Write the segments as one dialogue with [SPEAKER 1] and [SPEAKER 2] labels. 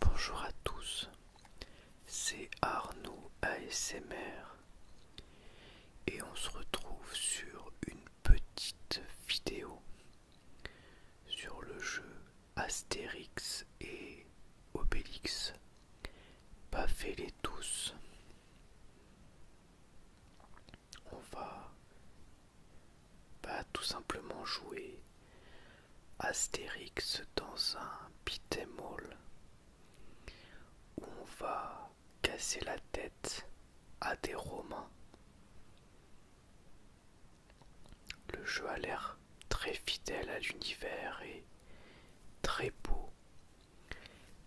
[SPEAKER 1] Bonjour à tous, c'est Arnaud ASMR et on se retrouve sur une petite vidéo sur le jeu Astérix et Obélix Baffez-les tous. On va pas tout simplement jouer Astérix dans un pitémol on va casser la tête à des Romains. Le jeu a l'air très fidèle à l'univers et très beau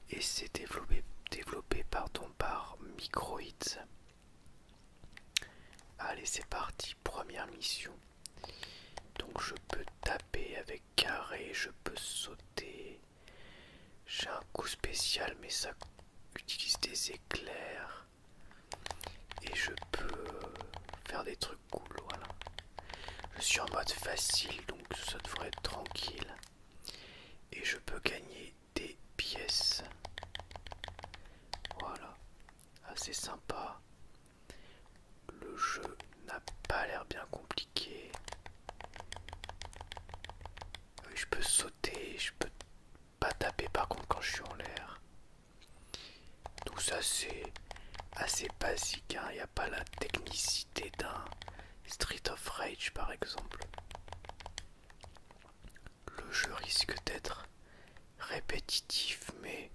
[SPEAKER 1] et c'est développé, pardon, par Microids. Allez, c'est parti, première mission. Donc je peux taper avec carré, je peux sauter. J'ai un coup spécial, mais ça utilise des éclairs. Et je peux faire des trucs cool, voilà. Je suis en mode facile, donc ça devrait être tranquille. Et je peux gagner des pièces. Voilà. Assez ah, sympa. Le jeu n'a pas l'air bien compliqué. je peux sauter, je peux pas taper par contre quand je suis en l'air. Tout ça c'est assez basique, il hein. n'y a pas la technicité d'un Street of Rage par exemple. Le jeu risque d'être répétitif mais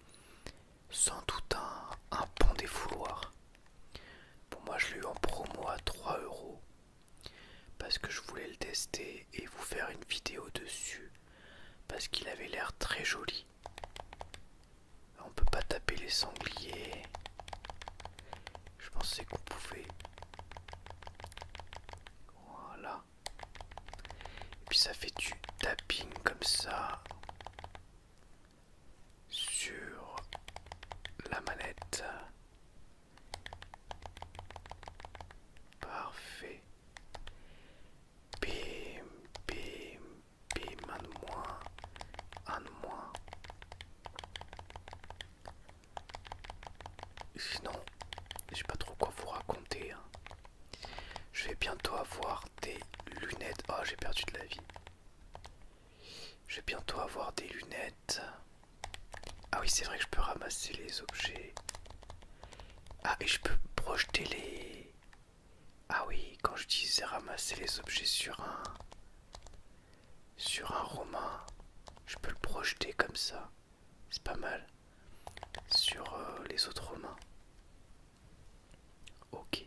[SPEAKER 1] sans doute un, bon pont des Pour moi je l'ai eu en promo à 3 euros parce que je voulais le tester et vous faire une vidéo dessus parce qu'il avait l'air très joli on peut pas taper les sangliers. Je pensais qu'on pouvait. Voilà. Et puis ça fait du tapping comme ça sur la manette. Parfait. Bim, bim, Bim, un de moins. Un de moins. Sinon, je sais pas trop quoi vous raconter. Hein. Je vais bientôt avoir des lunettes. Oh, j'ai perdu de la vie. Je vais bientôt avoir des lunettes. Ah oui, c'est vrai que je peux ramasser les objets. Ah, et je peux projeter les... Ah oui, quand je disais ramasser les objets sur un sur un romain, je peux le projeter comme ça. C'est pas mal. Sur euh, les autres romains. Ok.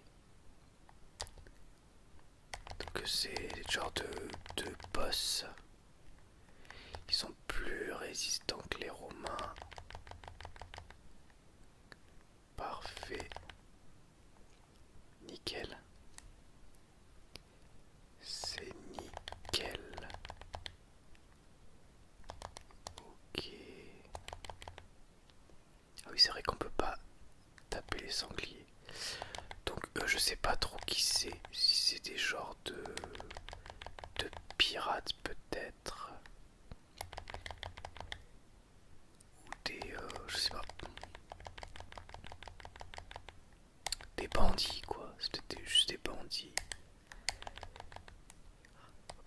[SPEAKER 1] Donc c'est genre de, de boss. qui sont plus résistants que les romains. Parfait. Nickel. C'est nickel. Ok. Ah oui, c'est vrai qu'on peut pas taper les sangliers. Donc euh, je sais pas trop qui c'est. Si c'est des genres de de pirates peut-être ou des, euh, je sais pas, des bandits quoi, c'était juste des bandits.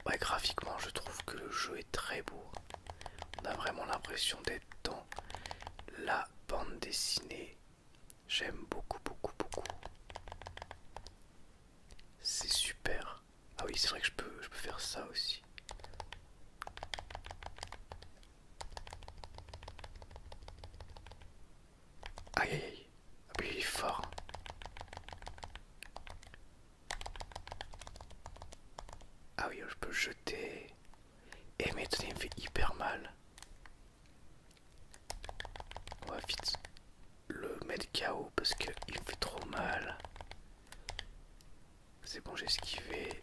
[SPEAKER 1] Ouais, graphiquement, je trouve que le jeu est très beau. On a vraiment l'impression d'être dans la bande dessinée. J'aime beaucoup, beaucoup, beaucoup. C'est super. Ah oui, c'est vrai que je peux, je peux faire ça aussi. Aïe aïe aïe. Ah il fort. Ah oui, je peux jeter. Et eh, mais attendez, il me fait hyper mal. On va vite le mettre KO parce qu'il me fait trop mal. C'est bon, j'ai esquivé.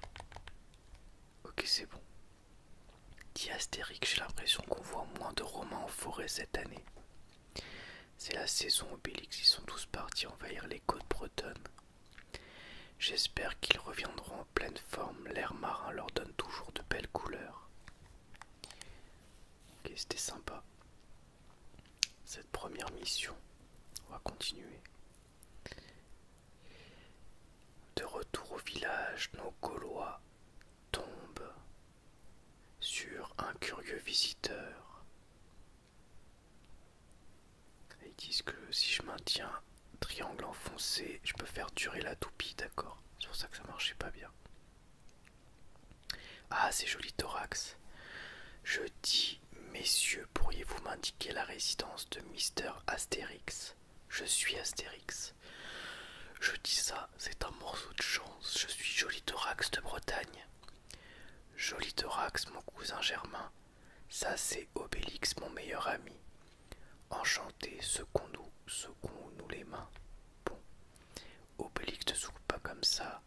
[SPEAKER 1] Ok, c'est bon. Diastérique, j'ai l'impression qu'on voit moins de romans en forêt cette année. C'est la saison Obélix, ils sont tous partis envahir les côtes bretonnes. J'espère qu'ils reviendront en pleine forme, l'air marin leur donne toujours de belles couleurs. Ok, c'était sympa. Cette première mission, on va continuer. De retour au village, nos Gaulois tombent sur un curieux visiteur. ils disent que si je maintiens triangle enfoncé, je peux faire durer la toupie, d'accord C'est pour ça que ça marchait pas bien. Ah, c'est joli thorax. Je dis Messieurs, pourriez-vous m'indiquer la résidence de Mister Astérix Je suis Astérix. Je dis ça, c'est un morceau de chance. Je suis Joli de Bretagne. Joli Thorax, mon cousin Germain. Ça, c'est Obélix, mon meilleur ami. Enchanté, second nous secons-nous les mains. Bon, Obélix ne souffle pas comme ça,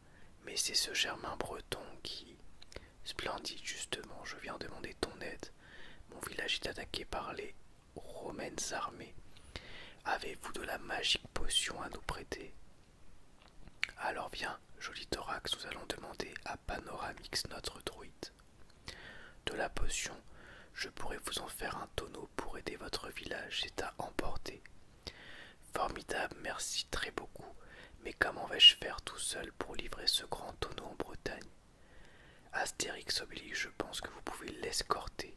[SPEAKER 1] mais c'est ce Germain Breton qui. Splendide, justement, je viens demander ton aide. Mon village est attaqué par les romaines armées. Avez-vous de la magique potion à nous prêter Alors viens, joli thorax, nous allons demander à Panoramix notre druide. De la potion, je pourrais vous en faire un tonneau pour aider votre village, c'est à emporter. Formidable, merci très beaucoup, mais comment vais-je faire tout seul pour livrer ce grand tonneau en Bretagne Astérix oblige, je pense que vous pouvez l'escorter.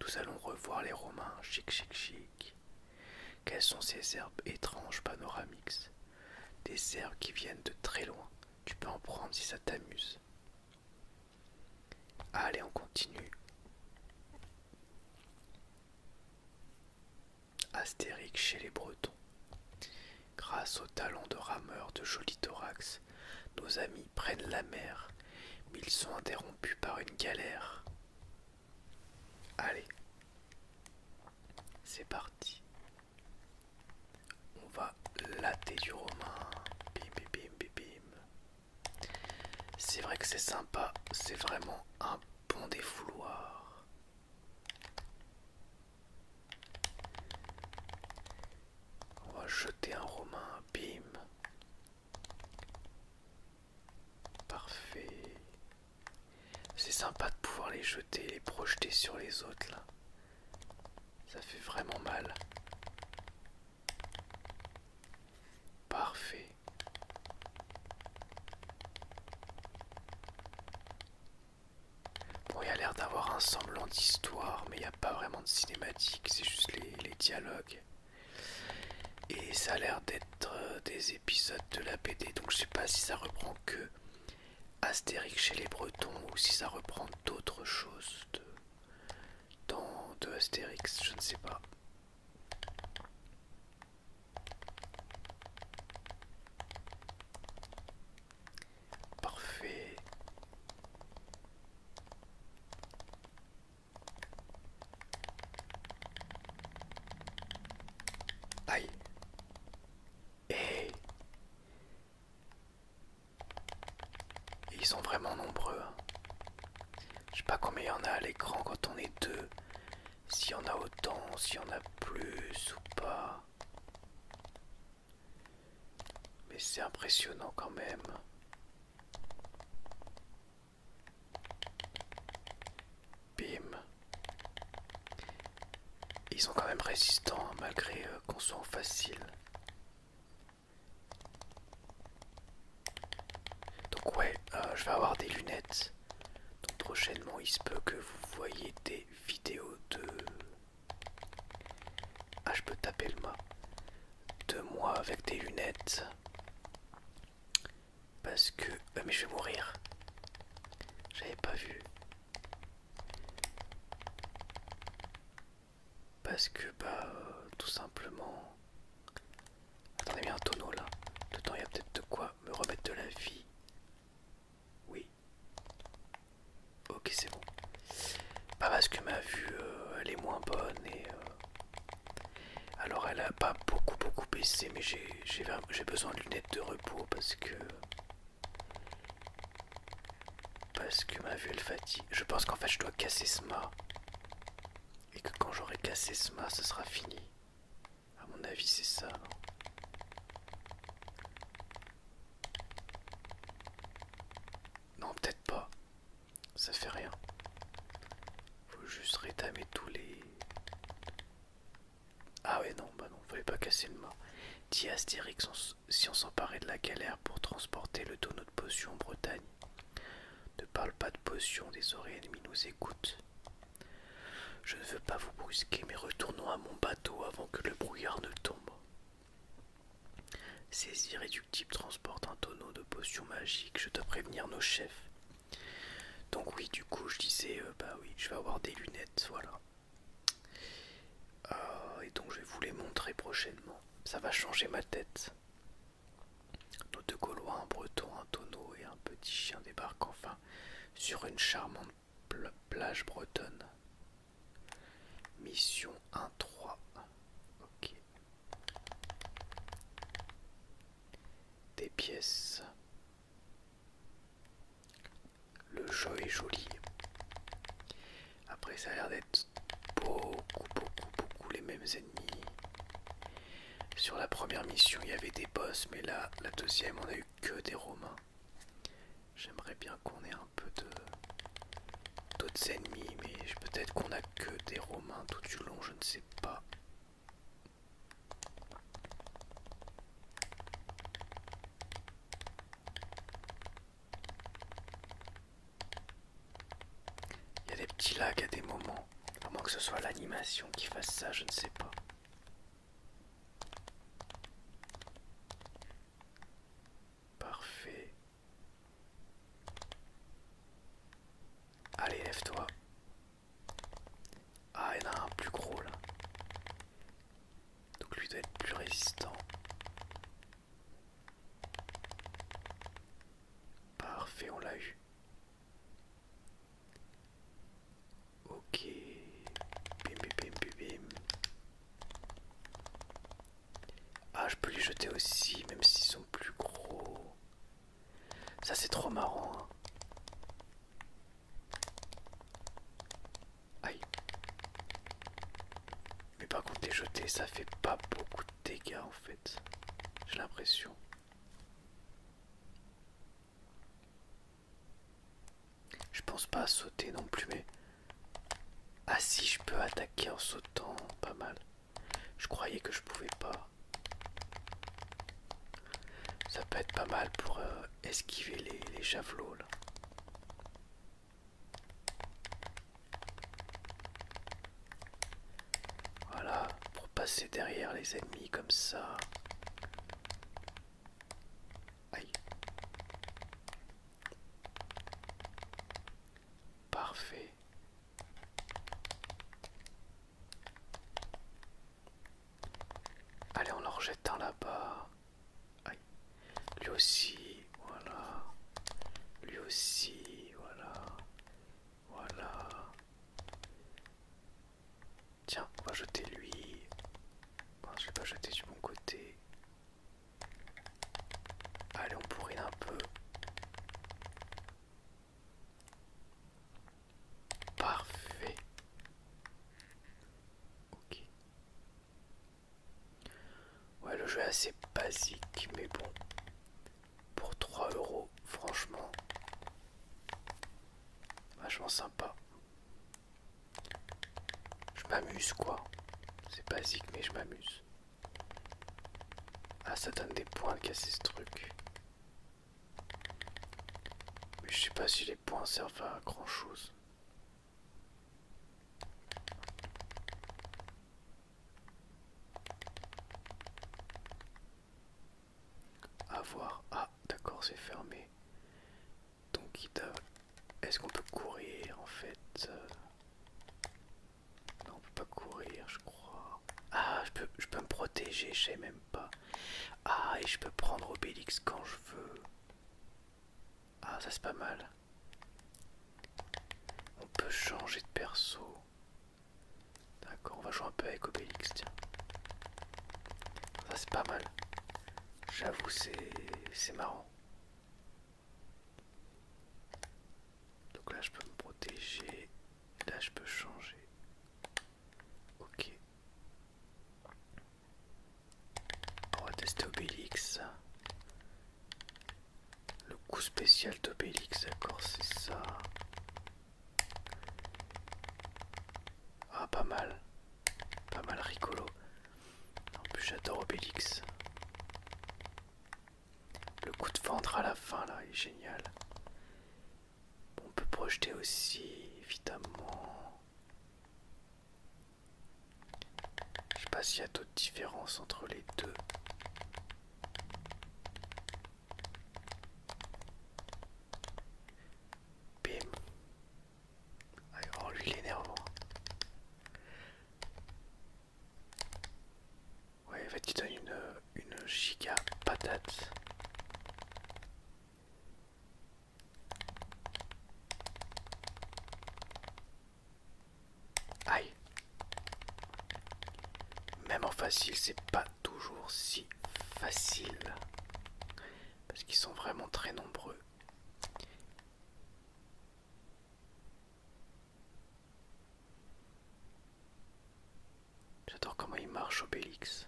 [SPEAKER 1] Nous allons revoir les Romains, chic chic chic. Quelles sont ces herbes étranges Panoramix ?»« Des herbes qui viennent de très loin. Tu peux en prendre si ça t'amuse. Allez, on continue. Astérique chez les Bretons. Grâce au talent de rameur de Joli Thorax, nos amis prennent la mer, mais ils sont interrompus par une galère. Allez, c'est parti. On va latter du romain. Bim, bim, bim, bim, bim. C'est vrai que c'est sympa, c'est vraiment un bon défouloir. On va jeter un romain, bim. Parfait. C'est sympa de pouvoir les jeter et les projeter sur les autres là. Ça fait vraiment mal. Parfait. Bon, il a l'air d'avoir un semblant d'histoire, mais il n'y a pas vraiment de cinématique, c'est juste les, dialogues. Et ça a l'air d'être euh, des épisodes de la BD, donc je sais pas si ça reprend que Astérix chez les Bretons ou si ça reprend d'autres choses de Astérix, je ne sais pas. Parfait. Aïe. Eh. Et ils sont vraiment nombreux. Hein. Je sais pas combien il y en a à l'écran quand on est deux. S'il y en a autant, s'il y en a plus ou pas. Mais c'est impressionnant quand même. Bim. Ils sont quand même résistants hein, malgré euh, qu'on soit facile. Donc ouais, euh, je vais avoir des lunettes donc prochainement, il se peut que vous voyez des vidéos de... Ah, je peux taper le mât. De moi avec des lunettes. Parce que... Ah, mais je vais mourir. J'avais pas vu. Parce que, bah, euh, tout simplement... Attendez, il y un tonneau là. temps il y a peut-être de quoi me remettre de la vie. Oui. Ok, c'est bon. Pas parce que ma vue, euh, elle est moins bonne et... Euh, alors, elle a pas beaucoup, beaucoup baissé, mais j'ai besoin de lunettes de repos parce que... Parce que ma vue, elle fatigue. Je pense qu'en fait, je dois casser ce mât. Et que quand j'aurai cassé ce mât, ce sera fini. À mon avis, c'est ça. Non, peut-être pas. Ça fait rien. Faut juste rétamer tous les. Ah ouais, non, bah non, fallait pas casser le mât. Dit Astérix, si on s'emparait de la galère pour transporter le tonneau de potion en Bretagne. Ne parle pas de potions, des oreilles ennemies nous écoutent. Je ne veux pas vous brusquer, mais retournons à mon bateau avant que le brouillard ne tombe. Ces irréductibles transportent un tonneau de potions magiques, je dois prévenir nos chefs. Donc oui, du coup, je disais, euh, bah oui, je vais avoir des lunettes, voilà. Euh, et donc je vais vous les montrer prochainement. Ça va changer ma tête. Nos deux Gaulois, un breton, un tonneau et un petit chien débarquent enfin sur une charmante plage bretonne. Mission 1-3. Ok. Des pièces. Le jeu est joli. Après, ça a l'air d'être beaucoup, beaucoup, beaucoup les mêmes ennemis. Sur la première mission, il y avait des boss, mais là, la deuxième, on a eu que des Romains. J'aimerais bien qu'on ait un peu de d'autres ennemis, mais peut-être qu'on a que des Romains tout du long, je ne sais pas. Il y a des petits lags à des moments. A moins que ce soit l'animation qui fasse ça, je ne sais pas. Parfait. Allez, lève-toi. Ah, il y a un plus gros là. Donc lui doit être plus résistant. Parfait, on l'a eu. Ok. Bim, bim, bim, bim. Ah, je peux les jeter aussi, même s'ils sont plus gros. Ça, c'est trop marrant. Hein. Aïe. Mais par contre, les jeter, ça fait pas beaucoup de dégâts en fait. J'ai l'impression. Je pense pas à sauter non plus, mais... Ah si, je peux attaquer en sautant, pas mal. Je croyais que je pouvais pas. Ça peut être pas mal pour euh, esquiver les, les javelots là. Voilà, pour passer derrière les ennemis comme ça. Aïe. Parfait. Allez, on en rejette un là-bas. Aïe. Lui aussi, voilà. Lui aussi, voilà. Voilà. Tiens, on va jeter lui. je vais pas jeter du bon côté. Allez, on pourrait un peu. Parfait. Ok. Ouais, le jeu est assez basique, mais bon pour 3 euros, franchement, vachement sympa. Je m'amuse quoi, c'est basique mais je m'amuse. Ah, ça donne des points de casser ce truc. Mais je sais pas si les points servent à grand chose. Avoir. Ah, d'accord, c'est fermé. Donc, est-ce qu'on peut courir en fait euh? Non, on peut pas courir, je crois. Ah, je peux, je peux me protéger, je sais même pas. Ah, et je peux prendre Obélix quand je veux. Ah, ça c'est pas mal. On peut changer de perso. D'accord, on va jouer un peu avec Obélix, tiens. Ça c'est pas mal. J'avoue, c'est marrant. Donc là, je peux me protéger. Là, je peux changer. Ok. On va tester Obélix. Le coup spécial d'Obélix, d'accord, c'est ça. Ah pas mal. Pas mal rigolo. En plus j'adore Obélix. Le coup de ventre à la fin là est génial. On peut projeter aussi évidemment. Je sais pas s'il y a d'autres différences entre les deux. Bim. Allez, oh lui il est nerveux Ouais, en fait il donne une, une giga patate. Aïe, même en facile, c'est pas toujours si facile. Parce qu'ils sont vraiment très nombreux. J'adore comment il marche Bélix.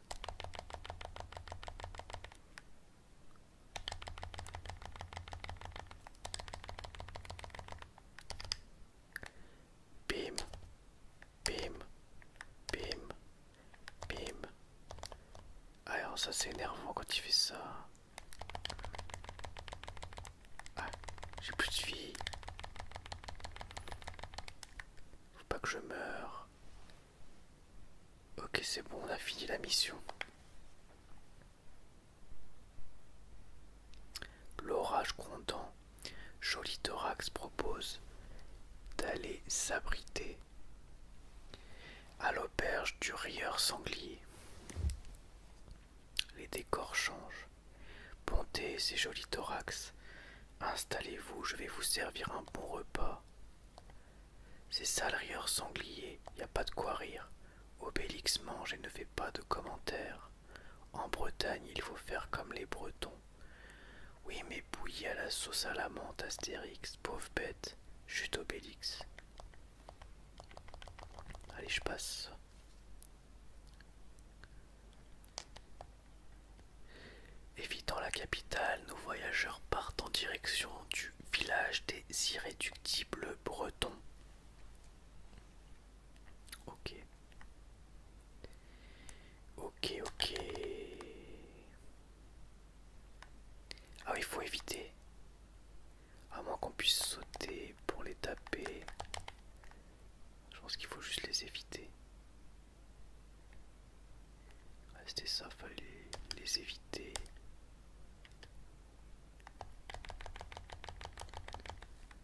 [SPEAKER 1] Bim. Bim. Bim. Bim. Ah, alors ça c'est énervant quand il fait ça. Ah, j'ai plus de vie. Faut pas que je meure. Ok c'est bon, on a fini la mission. L'orage grondant, Joli Thorax propose d'aller s'abriter à l'auberge du rieur sanglier. Les décors changent. Pontez ces Joli thorax. Installez-vous, je vais vous servir un bon repas. C'est ça le rieur sanglier, y a pas de quoi rire. Obélix mange et ne fait pas de commentaires. En Bretagne, il faut faire comme les Bretons. Oui, mais bouillie à la sauce à la menthe, Astérix, pauvre bête, chute Obélix. Allez, je passe. Évitant la capitale, nos voyageurs partent en direction du village des irréductibles bretons. Ok. Ok, ok. Ah il faut éviter. À moins qu'on puisse sauter pour les taper. Je pense qu'il faut juste les éviter. restez ah, ça, fallait les éviter.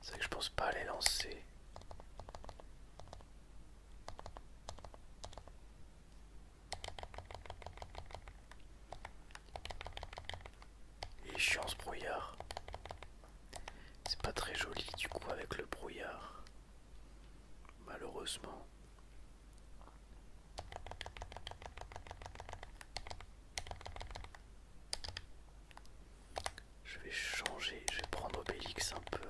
[SPEAKER 1] C'est que je pense pas les lancer. Il est chiant ce brouillard. C'est pas très joli du coup avec le brouillard. Malheureusement. Je vais changer, je vais prendre Obélix un peu.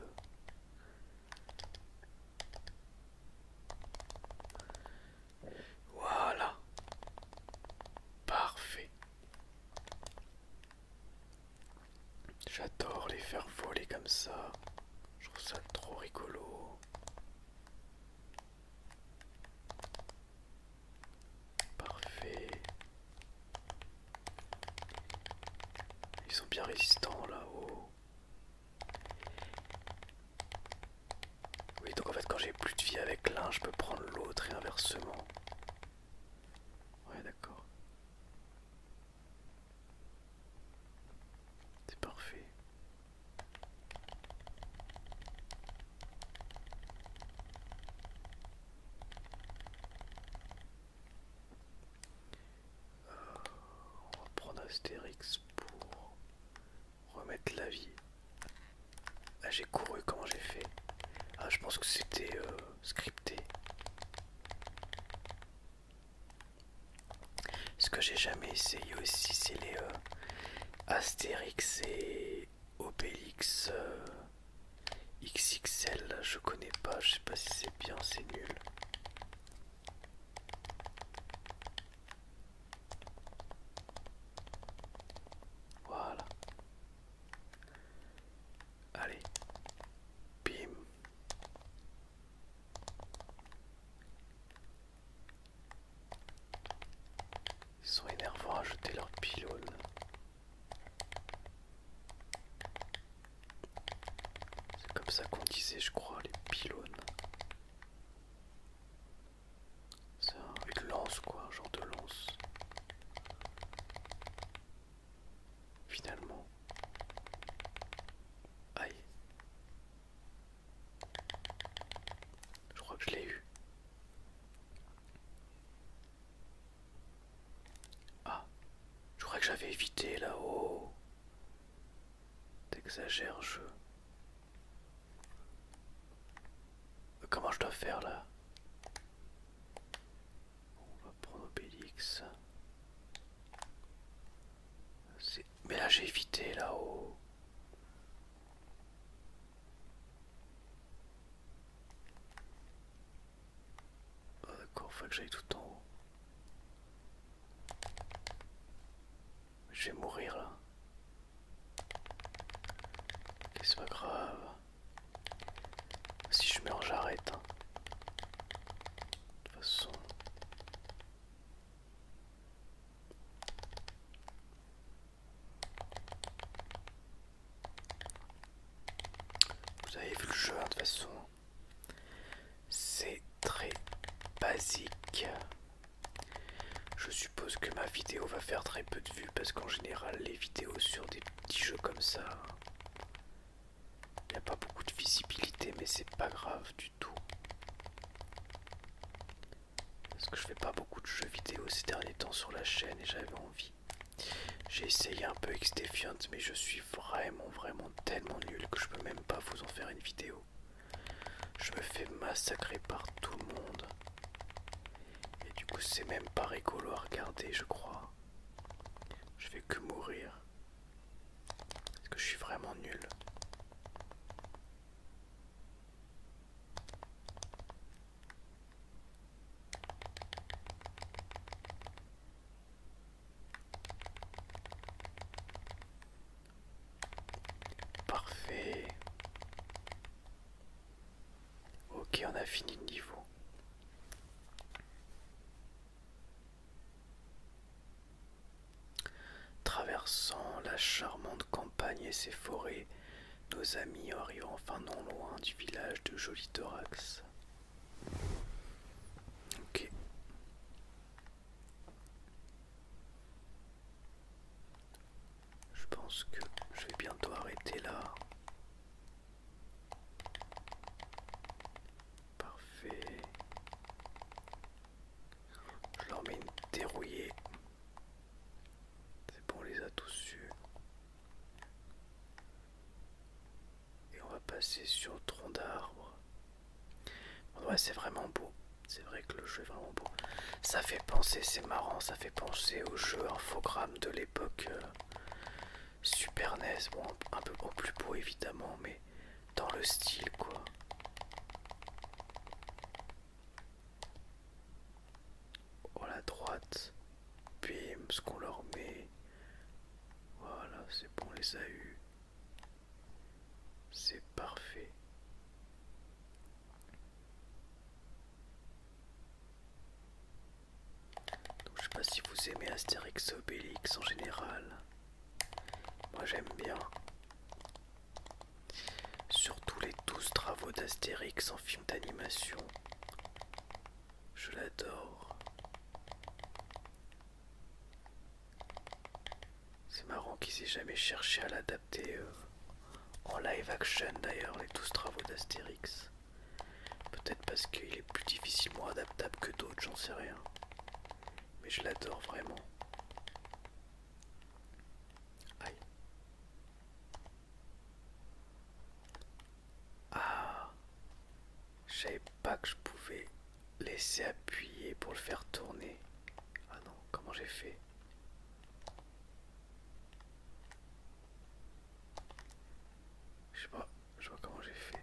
[SPEAKER 1] Voilà. Parfait. J'adore les faire voler comme ça. Je trouve ça trop rigolo. Parfait. Ils sont bien résistants là-haut. Oh. Oui, donc en fait, quand j'ai plus de vie avec l'un, je peux prendre l'autre et inversement. Ouais, d'accord. C'est parfait on va prendre Astérix pour remettre la vie. Ah j'ai couru, comment j'ai fait Ah je pense que c'était euh, scripté. Ce que j'ai jamais essayé aussi c'est les euh, Astérix et Obélix euh, XXL, je connais pas, je sais pas si c'est bien, c'est nul. Voilà. Allez. Bim. Ils sont énervants à jeter leur pylône. C'est comme ça qu'on disait, je crois, les pylônes. C'est une lance, quoi, un genre de lance. Finalement. Aïe. Je crois que je l'ai eu. Ah, je croyais que j'avais évité là-haut. T'exagères, jeu. Euh, comment je dois faire là On va prendre Obélix. Mais là j'ai évité là-haut. Ah d'accord, faut que j'aille tout en haut. Je vais mourir là. Qu'est-ce pas grave. Si je meurs, j'arrête. Hein. De toute façon. Vous avez vu le jeu, hein, de toute façon. C'est très basique. Je suppose que ma vidéo va faire très peu de vues parce qu'en général, les vidéos sur des petits jeux comme ça, il n'y a pas beaucoup de visibilité, mais c'est pas grave du tout. Parce que je fais pas beaucoup de jeux vidéo ces derniers temps sur la chaîne et j'avais envie. J'ai essayé un peu Exdefiant mais je suis vraiment vraiment tellement nul que je peux même pas vous en faire une vidéo. Je me fais massacrer par tout le monde. Et du coup c'est même pas rigolo à regarder je crois. Je vais que mourir. Parce que je suis vraiment nul. Parfait. Ok, on a fini le niveau. Traversant la charmante campagne et ses forêts, nos amis arrivent enfin non loin du village de Jolitorax. Ok. Je pense que je vais bientôt arrêter là. Parfait. Je leur mets c'est bon, on les a tous su. Et on va passer sur le tronc d'arbre. Ouais, c'est vraiment beau. C'est vrai que le jeu est vraiment beau. Ça fait penser, c'est marrant, ça fait penser au jeu infogramme de l'époque euh, Super NES. Bon, un peu au plus beau évidemment, mais dans le style quoi. Oh la droite, bim, ce qu'on leur met. Voilà, c'est bon, on les a eu. C'est parfait. Donc, je sais pas si vous aimez Astérix Obélix en général. Moi j'aime bien. Surtout les 12 travaux d'Astérix en film d'animation. Je l'adore. C'est marrant qu'ils aient jamais cherché à l'adapter euh, en live action d'ailleurs, les 12 travaux d'Astérix. Peut-être parce qu'il est plus difficilement adaptable que d'autres, j'en sais rien. Mais je l'adore vraiment. Aïe. Ah, je savais pas que je pouvais laisser appuyer pour le faire tourner. Ah non, comment j'ai fait Je sais je vois comment j'ai fait.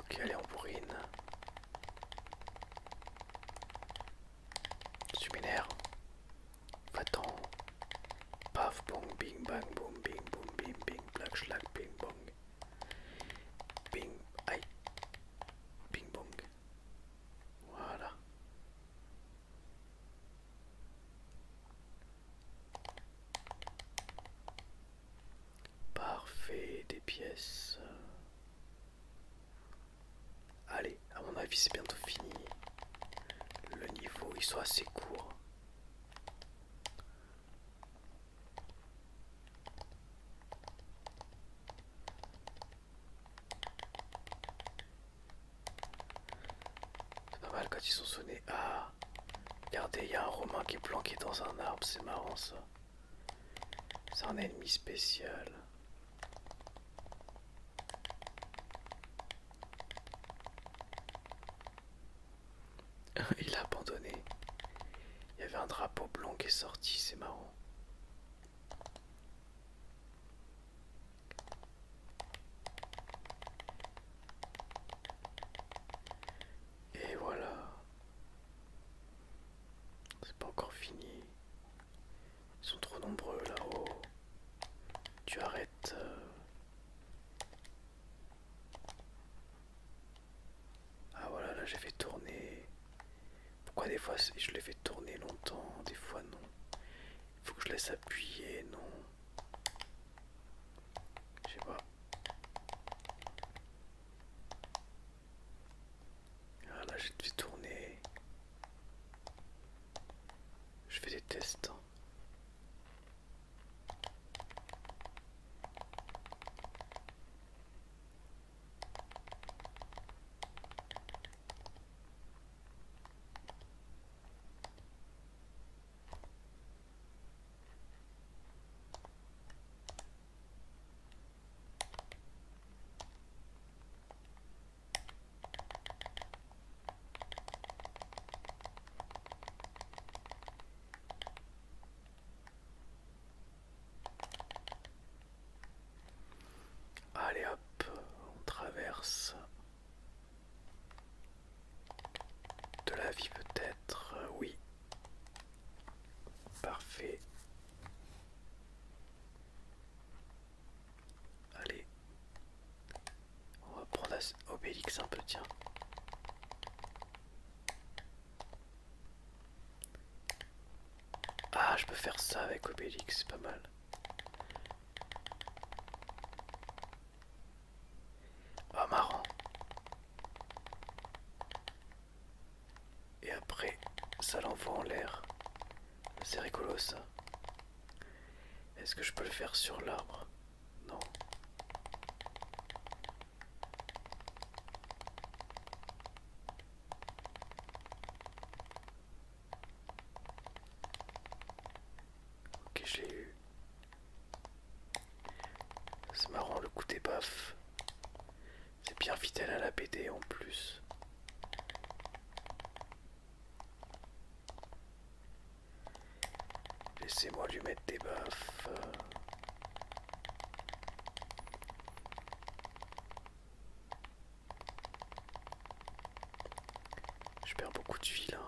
[SPEAKER 1] Ok, allez, on bourrine. Subinaire. Va-t'en. Paf, bong, bing, bang, boum bing, boum bing, bing, black, schlag, bing, bong. Bing, aïe. Bing, bong. Voilà. Parfait, des pièces. Allez, à mon avis, c'est bientôt fini. Le niveau, il soit assez court. C'est pas mal quand ils sont sonnés. Ah Regardez, il y a un Romain qui est planqué dans un arbre, c'est marrant ça. C'est un ennemi spécial. Il a abandonné. Il y avait un drapeau blanc qui est sorti, c'est marrant. Et voilà. C'est pas encore fini. Ils sont trop nombreux là-haut. Tu arrêtes. Euh. Ah voilà, là j'ai fait tourner. Pourquoi des fois je les fais tourner longtemps, des fois non. Il faut que je laisse appuyer, non. Je sais pas. Voilà, ah, j'ai dû tourner. Je fais des tests. Hein. Allez hop, on traverse de la vie peut-être, euh, oui, Parfait. Allez. On va prendre Obélix un peu, tiens. Ah, je peux faire ça avec Obélix, c'est pas mal. Ah, marrant. Et après, ça l'envoie en l'air. C'est rigolo ça. Est-ce que je peux le faire sur l'arbre Non. Ok, je eu. C'est marrant le coup des baffes. C'est bien fidèle à la BD en plus. Laissez-moi lui mettre des baffes. Je perds beaucoup de vie là.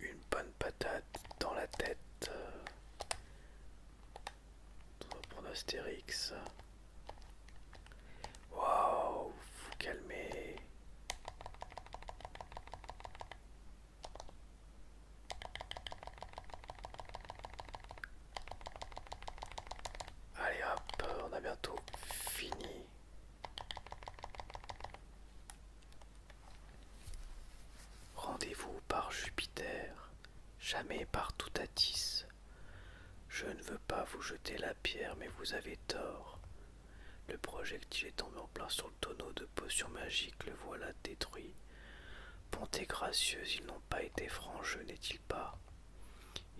[SPEAKER 1] Une bonne patate dans la tête. Pour Astérix. Waouh, vous calmez. Allez hop, on a bientôt fini. Rendez-vous par Jupiter, jamais par Toutatis. Je ne veux pas vous jeter la pierre, mais vous avez tort. Le projectile est tombé en plein sur le tonneau de potion magique, le voilà détruit. Bonté gracieuse, ils n'ont pas été francs, n'est-il pas.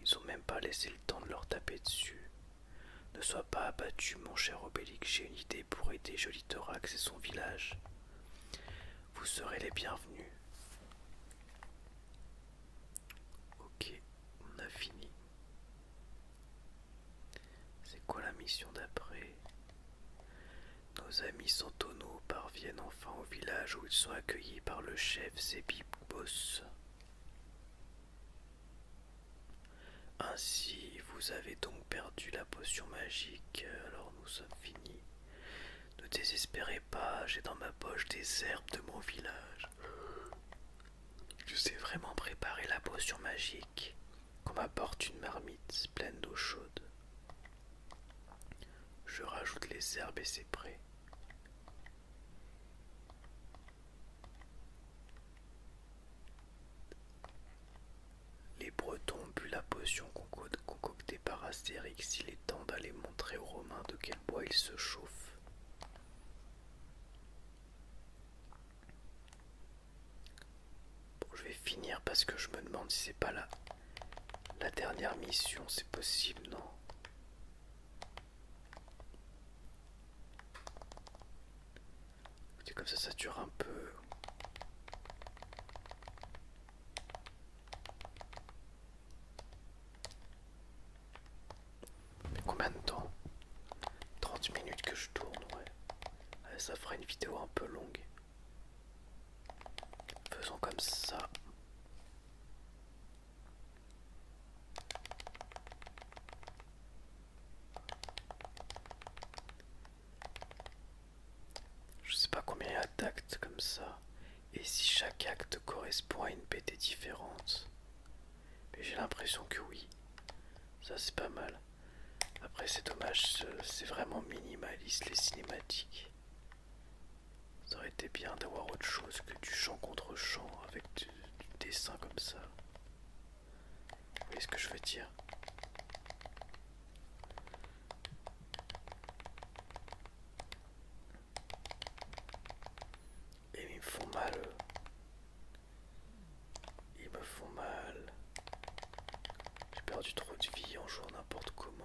[SPEAKER 1] Ils ont même pas laissé le temps de leur taper dessus. Ne sois pas abattu, mon cher Obélix, j'ai une idée pour aider Joli Thorax et son village. Vous serez les bienvenus. Ok, on a fini. C'est quoi la mission d'après Nos amis Santono parviennent en au village où ils sont accueillis par le chef Zébibos. Ainsi, vous avez donc perdu la potion magique, alors nous sommes finis. Ne désespérez pas, j'ai dans ma poche des herbes de mon village. Je sais vraiment préparer la potion magique. Qu'on m'apporte une marmite pleine d'eau chaude. Je rajoute les herbes et c'est prêt. Les Bretons ont bu la potion concoctée par Astérix. Il est temps d'aller montrer aux Romains de quel bois ils se chauffent. Bon, je vais finir parce que je me demande si c'est pas là. La dernière mission, c'est possible, non Écoutez, comme ça, ça dure un peu. combien de temps 30 minutes que je tourne, ouais. Ça fera une vidéo un peu longue. Faisons comme ça. Je sais pas combien il y a d'actes comme ça. Et si chaque acte correspond à une pt différente. Mais j'ai l'impression que oui. Ça c'est pas mal. Après c'est dommage, c'est vraiment minimaliste les cinématiques. Ça aurait été bien d'avoir autre chose que du chant contre chant avec du, dessin comme ça. Vous voyez ce que je veux dire Et ils me font mal. Ils me font mal. J'ai perdu trop de vie en jouant n'importe comment.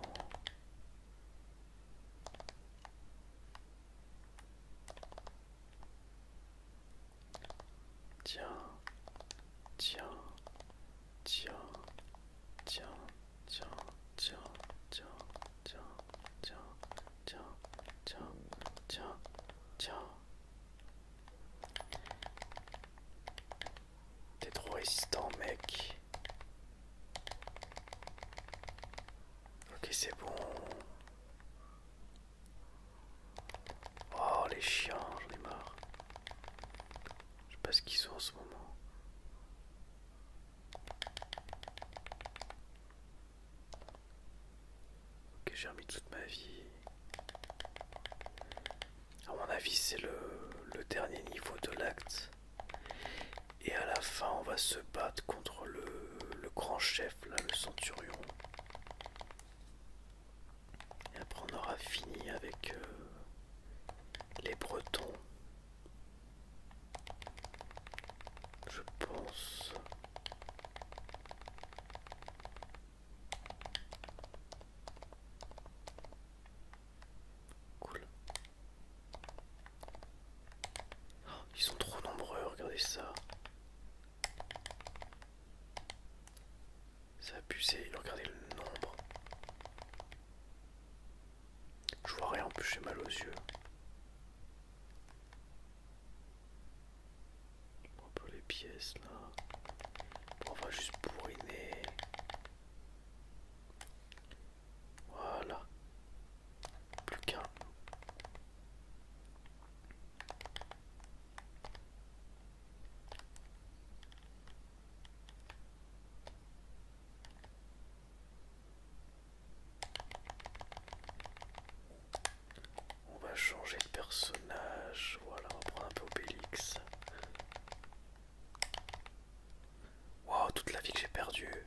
[SPEAKER 1] Tiens, tiens, tiens, tiens, tiens, tiens, tiens, tiens, tiens, tiens, tiens, T'es trop résistant, mec. Ok, c'est bon. Oh, les chiens, j'en ai marre. Je sais pas ce qu'ils sont en ce moment. Ok, j'ai remis toute ma vie. À mon avis, c'est le, le dernier niveau de l'acte. Et à la fin, on va se battre contre le, grand chef, là, le centurion. Et après, on aura fini avec euh, les Bretons. Je pense. Cool. Oh, ils sont trop nombreux, regardez ça. Ça a regardez le nombre. Je vois rien, en plus j'ai mal aux yeux. Un peu les pièces là. on va juste bourriner. Voilà. Plus qu'un. On va changer de personnage. Voilà, on va prendre un peu Obélix. Wow, toute la vie que j'ai perdue.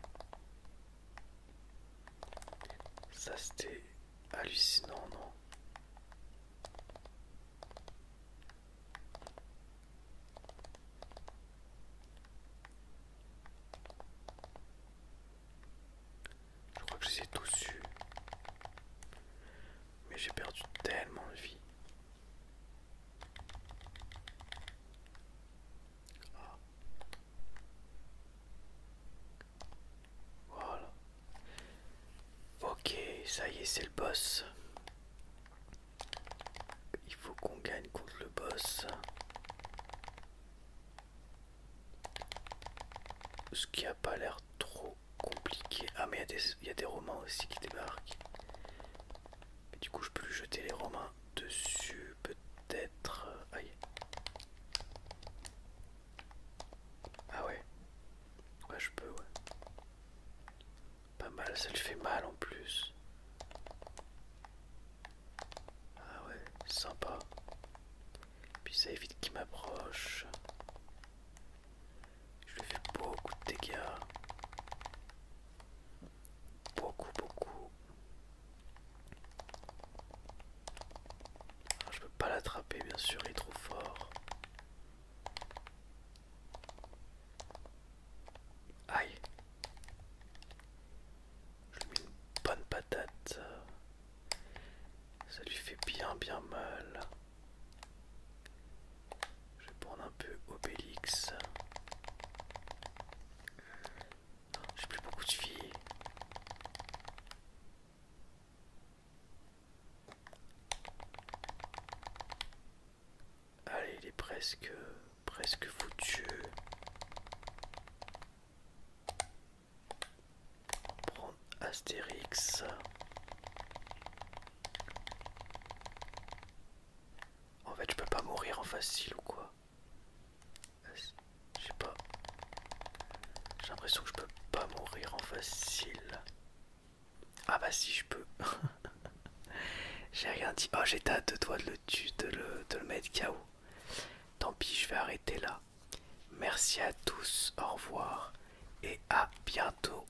[SPEAKER 1] Ça c'était hallucinant, non Je crois que j'ai les ai tous Mais j'ai perdu tellement de vie. Voilà. Ok, ça y est, c'est le boss. Il faut qu'on gagne contre le boss. Ce qui a pas l'air trop compliqué. Ah mais il y a des romans aussi qui débarquent du coup, je peux lui jeter les Romains dessus, peut-être. Euh, aïe. Ah ouais. Ouais, je peux, ouais. Pas mal, ça lui fait mal en plus. Ah ouais, sympa. Puis ça évite qu'il m'approche. Je lui fais beaucoup de dégâts beaucoup, beaucoup. Ah, je peux pas l'attraper, bien sûr, il est trop fort. Aïe. Je lui mets une bonne patate. Ça lui fait bien, bien mal. Je vais prendre un peu Obélix. J'ai plus beaucoup de filles. Allez, il est presque, presque foutu. Prendre Astérix. En fait, je peux pas mourir en facile ou quoi Je sais pas. J'ai l'impression que je peux pas mourir en facile. Ah bah si, je peux. j'ai rien dit. Oh, j'étais à deux doigts de le, de le, de le mettre KO. Tant pis, je vais arrêter là. Merci à tous, au revoir et à bientôt.